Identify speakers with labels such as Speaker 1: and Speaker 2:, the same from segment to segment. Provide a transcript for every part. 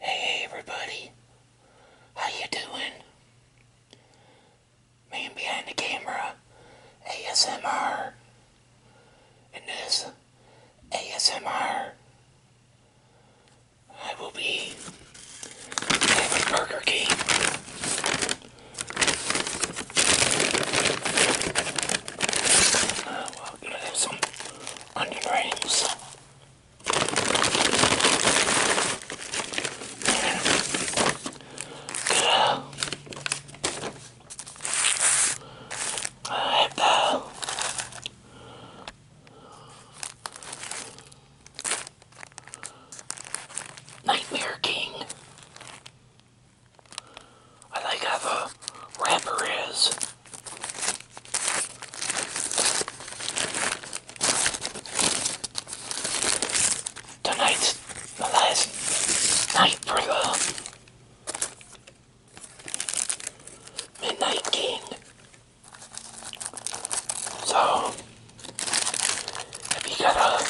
Speaker 1: Hey everybody, how you doing? Man behind the camera, ASMR, and this ASMR, I will be having Burger King. Uh, well, gonna have some on your dreams. Nightmare King. I like how the rapper is. Tonight's the last night for Midnight King. So, if you got a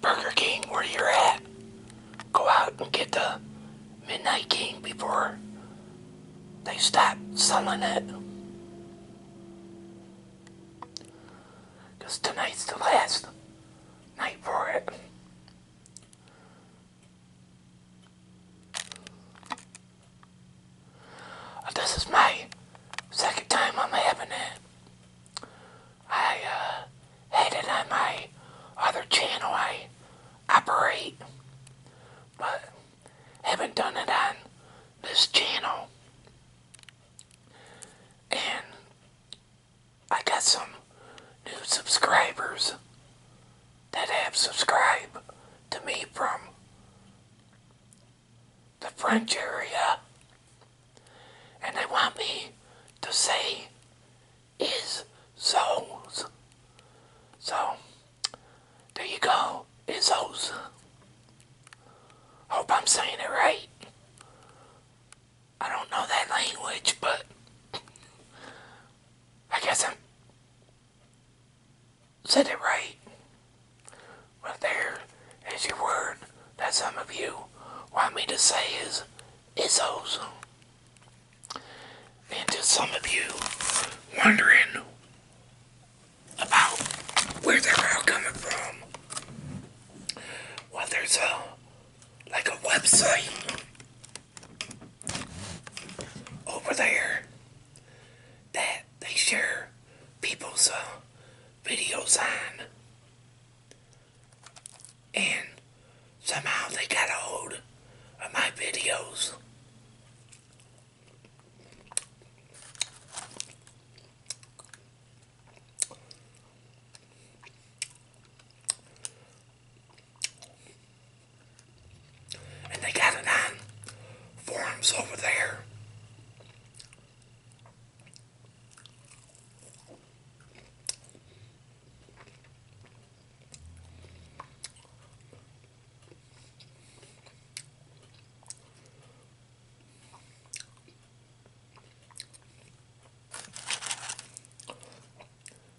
Speaker 1: Burger King where you're at, go out and get the Midnight King before they stop selling it. Because tonight's the last night for it. Uh, this is my second time I'm having it. I uh, headed on my other channel I operate, but haven't done it on this channel. And I got some new subscribers that have subscribed to me from the French area. And they want me to say is souls. So, there you go. It's souls. Hope I'm saying it right. I don't know that language, but I guess I am said it right. But there is your word that some of you want me to say is Izzos. And to some of you wondering about where they're all coming from, well, there's a like a website over there that they share people's uh, videos on, and Somehow they got a hold of my videos. And they got it on forums over there.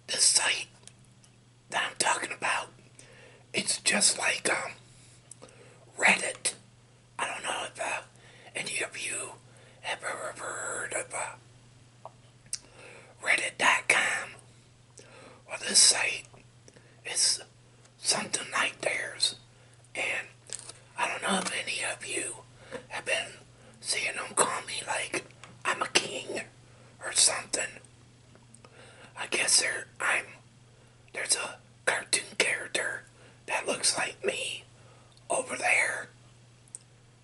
Speaker 1: The site that I'm talking about, it's just like um, Reddit. I don't know if uh, any of you ever heard of uh, Reddit.com. Well, this site is something like theirs, and I don't know if any of you have been seeing them call me like I'm a king or something. I guess there I'm there's a cartoon character that looks like me over there,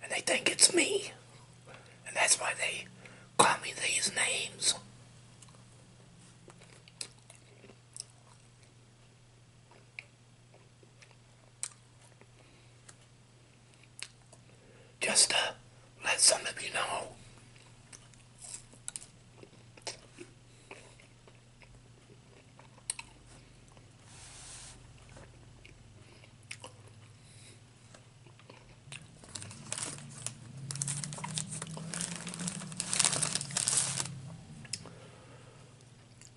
Speaker 1: and they think it's me. And that's why they call me these names. Just to let some of you know.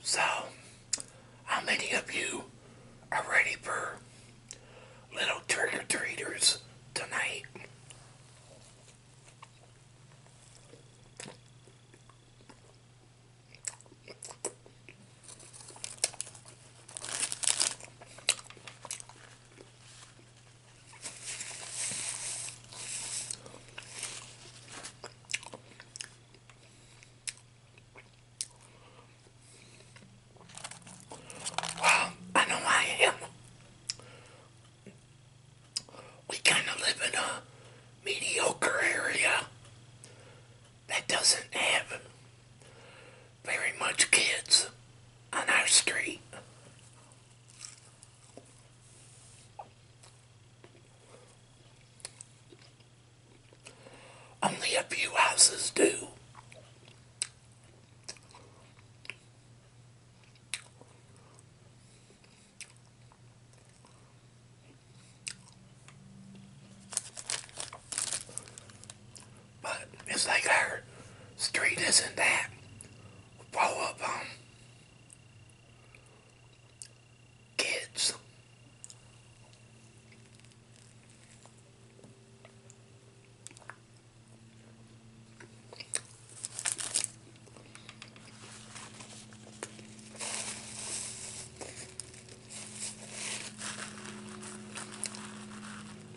Speaker 1: So, how many of you are ready for little trick or treaters tonight? Well, I know I am. We kind of live in a mediocre area that doesn't have very much kids on our street. Only a few houses do. But it's like our street isn't that full of um, kids.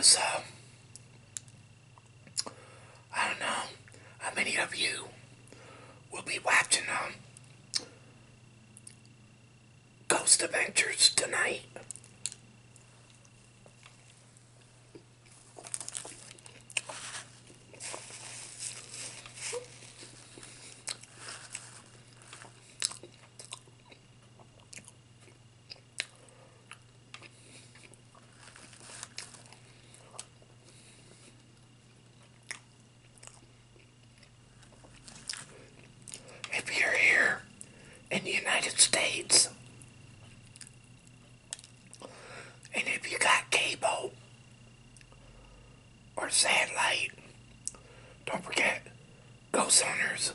Speaker 1: so, I don't know how many of you will be watching um, Ghost Adventures tonight. If you're here in the United States and if you got cable or satellite, don't forget Ghost Hunters,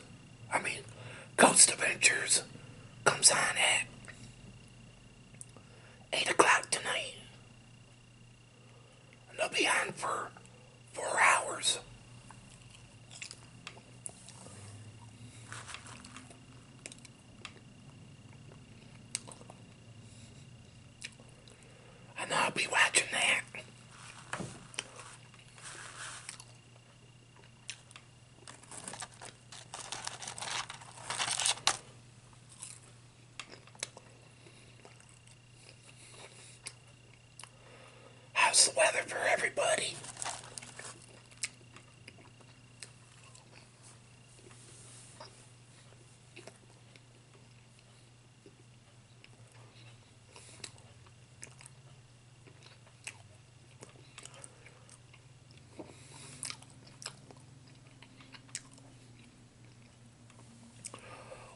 Speaker 1: I mean Ghost Adventures comes on at 8 o'clock tonight. And they'll be on for four hours. I know I'll be watching that. How's the weather for everybody?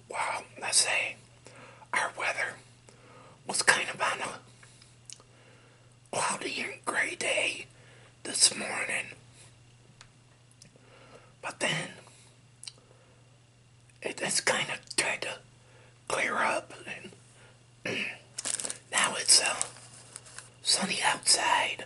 Speaker 1: Wow, let say our weather was kind of on cloudy and gray day this morning. But then it's kind of trying to clear up and now it's uh, sunny outside.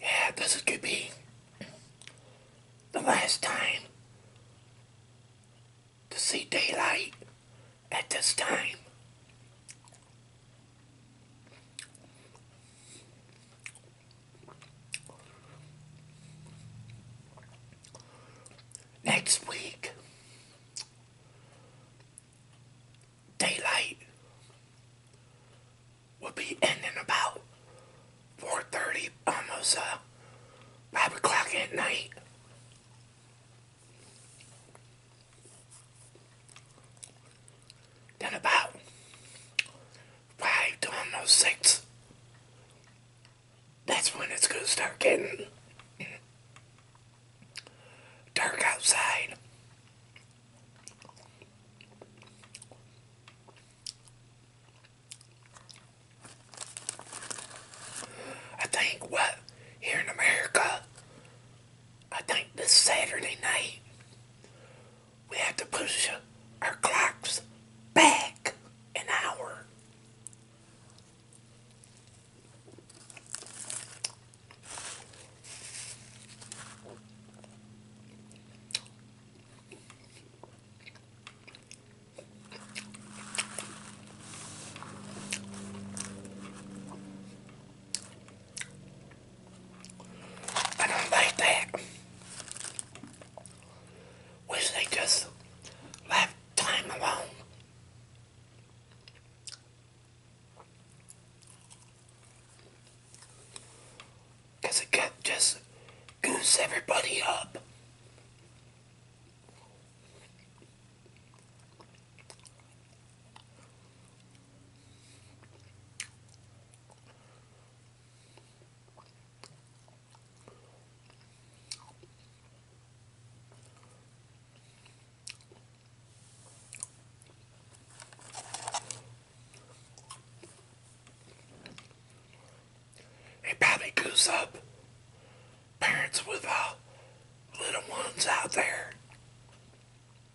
Speaker 1: Yeah, this could be the last time to see daylight at this time. Next week, daylight will be ending about 4.30, almost uh, 5 o'clock at night. Then about five almost six, that's when it's gonna start getting dark outside. I think what here in America I think this Saturday night, we have to push our clocks back an hour. And I like that. Wish they just left time alone. Because it can just goose everybody up. It probably Goose up parents with uh, little ones out there.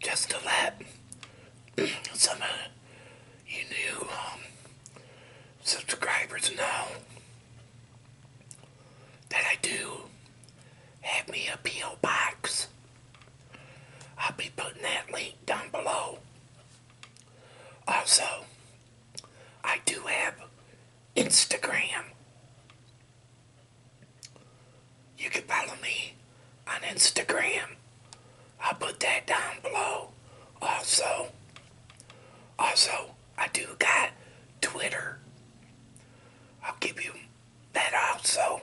Speaker 1: Just to let some you new um, subscribers know that I do have me a P.O. box. I'll be putting that link down below. Also, I do have Instagram. You can follow me on Instagram. I'll put that down below. Also, also, I do got Twitter. I'll give you that also.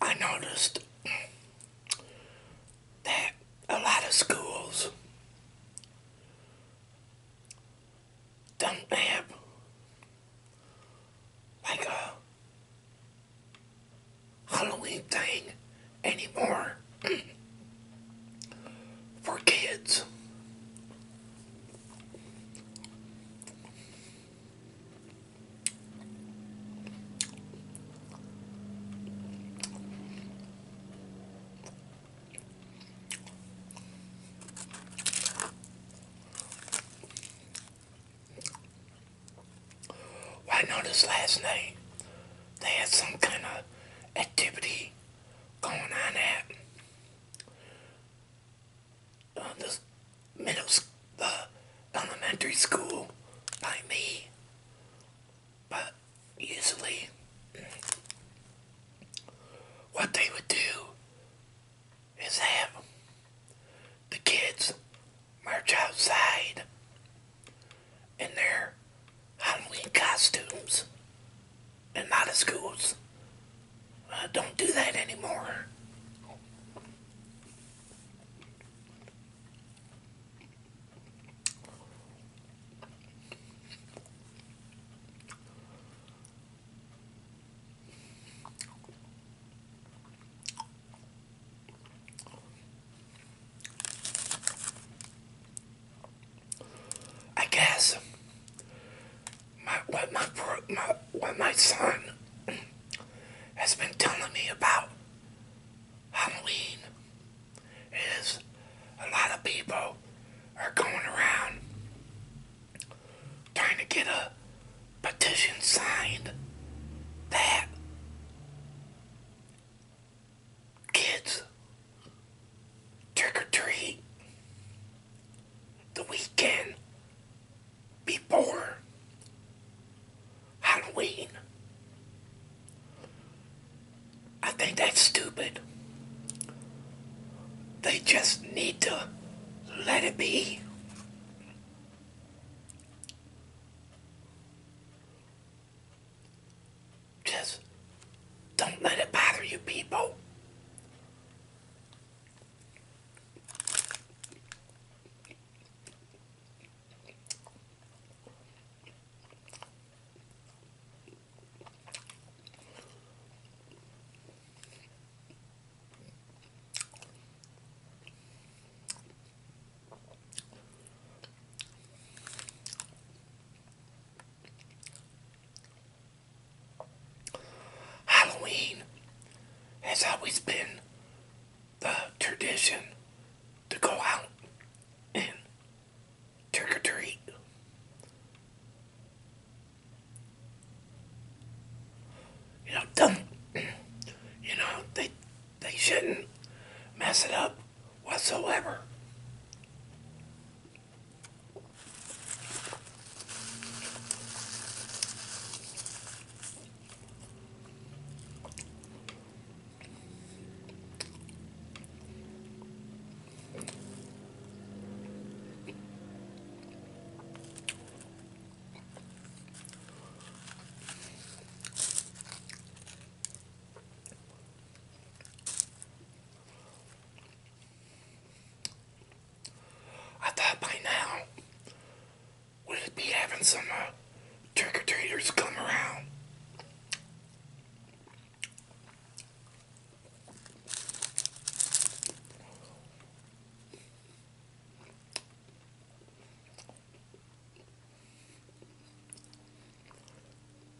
Speaker 1: I noticed that a lot of schools don't like a Halloween thing anymore for kids. Well, I noticed last night they had some kind of activity going on at uh, this middle uh, elementary school by me, but usually what they would do is have the kids march outside in their Halloween costumes and not as ghouls. Uh, don't do that anymore. I guess my what my my son has been telling me about Halloween is a lot of people are going around trying to get a petition signed that kids trick or treat the weekend before Halloween. I think that's stupid. They just need to let it be. Just don't let it bother you people. Halloween has always been the tradition to go out and trick or treat. You know, you know, they, they shouldn't mess it up whatsoever. I thought by now we'd be having some uh, trick or treaters come around.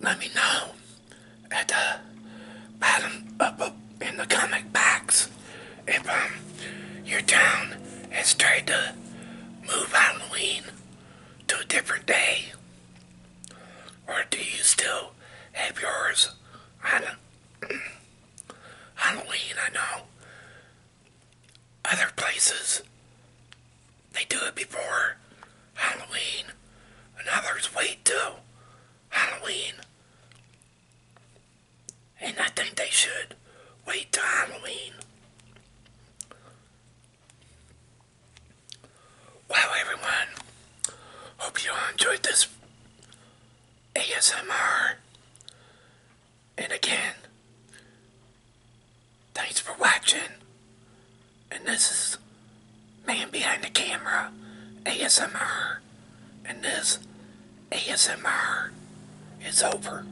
Speaker 1: Let me know at the bottom up, in the comic box if um, your town has tried to move Halloween to a different day? Or do you still have yours Halloween? I know other places they do it before Halloween, and others wait till Halloween. And I think they should wait till Halloween. Wow, everyone, hope you all enjoyed this ASMR. And again, thanks for watching. And this is Man Behind the Camera ASMR. And this ASMR is over.